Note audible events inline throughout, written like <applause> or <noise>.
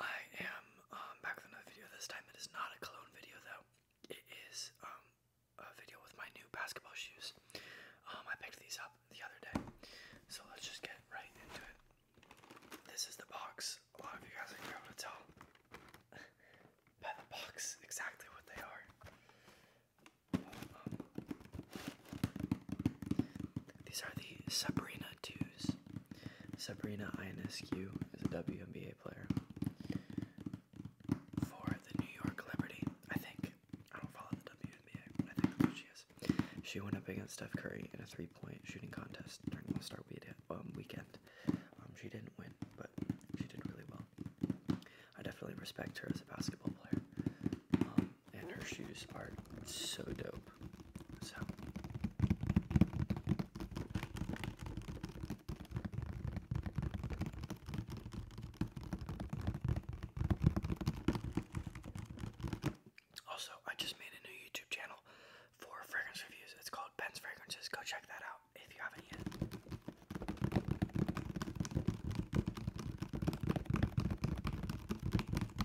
I am um, back with another video. This time it is not a cologne video though. It is um, a video with my new basketball shoes. Um, I picked these up the other day. So let's just get right into it. This is the box. A lot of you guys are able to tell <laughs> by the box exactly what they are. These are the Sabrina 2s. Sabrina INSQ is a WNBA player for the New York Liberty, I think. I don't follow the WNBA, but I think that's what she is. She went up against Steph Curry in a three point shooting contest during the all um, weekend. Um, she didn't win, but she did really well. I definitely respect her as a basketball player. Um, and her shoes are so dope. also, I just made a new YouTube channel for fragrance reviews. It's called Ben's Fragrances. Go check that out if you haven't yet.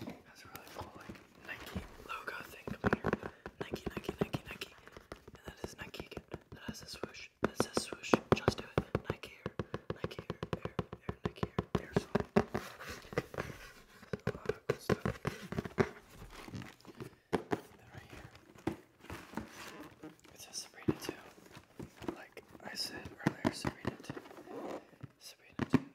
Has a really cool like Nike logo thing coming here. Nike, Nike, Nike, Nike. And that is Nike again. That has a swoosh. That says swoosh. Just do it. Nike here. Nike here. Air. Air. Nike here. Air swoosh. There's a uh, lot of good stuff. Then right here. It says Sabrina too. Like I said earlier, Sabrina too. Sabrina too.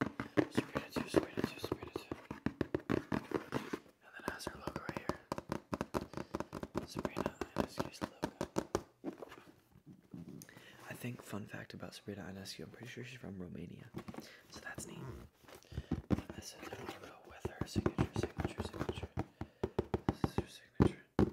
Screen it too, screen it too, screen it too. And then it has her logo right here. Sabrina, Ionescu's logo. I think, fun fact about Sabrina Ionescu, I'm pretty sure she's from Romania. So that's neat. And this is her logo with her signature, signature, signature. This is her signature.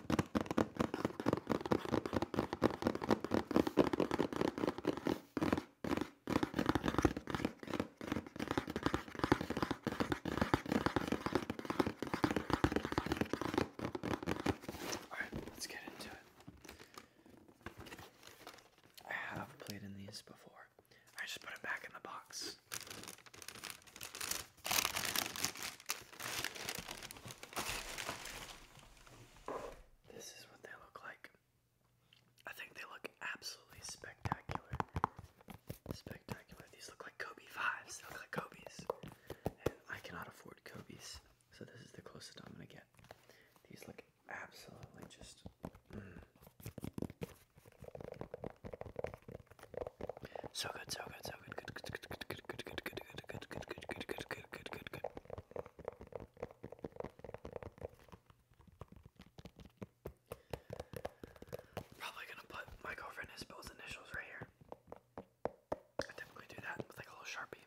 Alright, let's get into it. I have played in these before. I just put them back in the box. This is what they look like. I think they look absolutely spectacular. Spectacular. These look like Kobe 5s. They look like Kobe's. I cannot afford Kobe's. So this is the closest I'm going to get. These look absolutely just. Mm. So good, so good, so good, good, good, good, good, good, good, good, good, good, good, good, good, good, good, good, good, good. Probably gonna put my girlfriend Isabel's initials right here. I typically do that with like a little sharpie.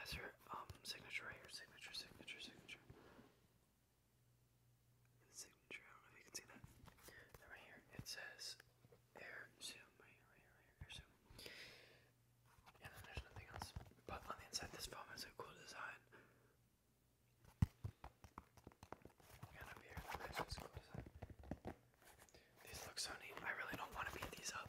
has her um signature right Signature, signature, signature. signature, I don't know if you can see that. And right here it says air zoom. Right here, right here, right here, air zoom. And then there's nothing else. But on the inside this phone has a cool design. And up here, there's this cool design. These look so neat. I really don't want to beat these up.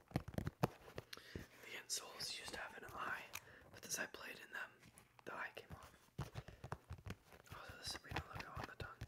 The insoles used to have an eye, but as I played in them, the eye came off. Also, oh, the Sabrina logo on the tongue.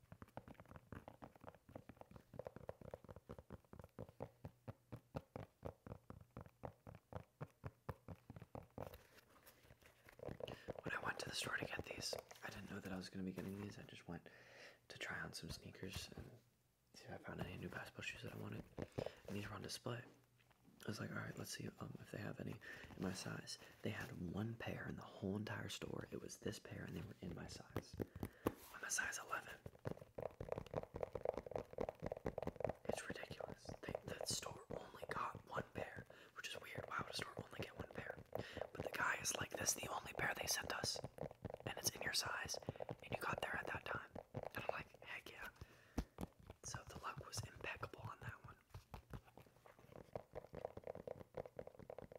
When I went to the store to get these, I didn't know that I was going to be getting these. I just went to try on some sneakers and see if I found any new basketball shoes that I wanted. And these were on display. I was like, alright, let's see um, if they have any in my size. They had one pair in the whole entire store. It was this pair, and they were in my size. I'm a size 11. It's ridiculous. They, store only got one pair, which is weird. Why would a store only get one pair? But the guy is like, "This is the only pair they sent us, and it's in your size, and you got there at that time." And I'm like, "Heck yeah!" So the luck was impeccable on that one.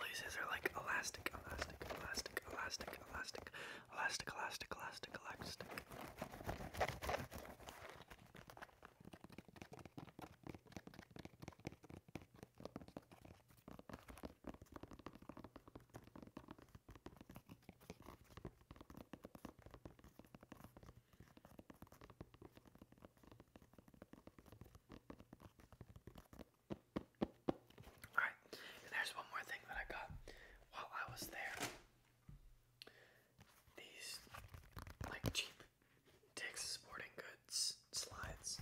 Laces are like elastic, elastic, elastic, elastic, elastic, elastic, elastic, elastic, elastic. Alright, and there's one more thing that I got while I was there. These like cheap Dick's Sporting Goods slides.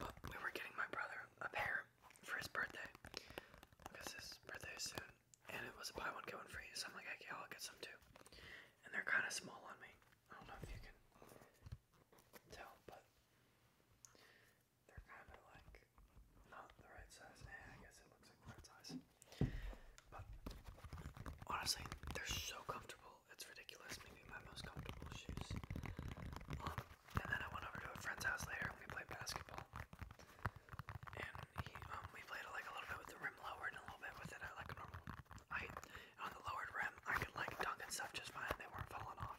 But oh, we were getting my brother a pair for his birthday because his birthday is soon, and it was a buy one get one free. So I'm like, okay, I'll get some too. And they're kind of small on me. I don't know if you can tell, but they're kind of like not the right size. Eh, I guess it looks like right size honestly, they're so comfortable. It's ridiculous. Maybe my most comfortable shoes. Um, and then I went over to a friend's house later and we played basketball. And um, we played like a little bit with the rim lowered and a little bit with it at like a normal height. on the lowered rim, I could like dunk and stuff just fine. They weren't falling off.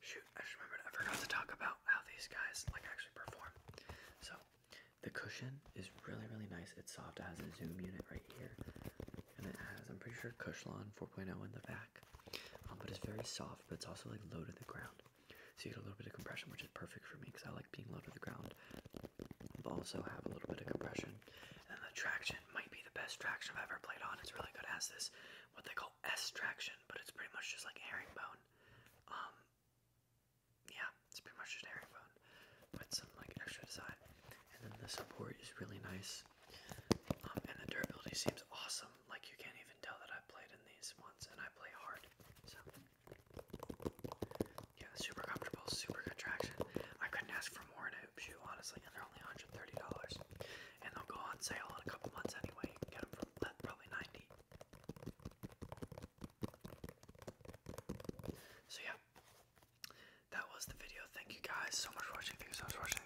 Shoot, I just remembered I forgot to talk about how these guys like actually perform. So the cushion is really really nice. It's soft. It has a zoom unit right here, and it has I'm pretty sure Cushlon 4.0 in the back, um, but it's very soft but it's also like low to the ground. So you get a little bit of compression, which is perfect for me because I like being low to the ground, but also have a little bit of compression. And the traction might be the best traction I've ever played on. It's really good. as this what they call S traction, but it's pretty much just like herringbone. Um, yeah, it's pretty much just herringbone but some like extra design. And then the support is really nice. Uh, and the durability seems awesome. Like you can't even tell that I played in these ones, and I play hard. So yeah, super comfortable, super good traction. I couldn't ask for more in a hoop shoe, honestly, and they're only $130. And they'll go on sale in a couple months anyway. You can get them for probably 90 So yeah, that was the video. Thank you guys so much for watching. Thank you so much for watching.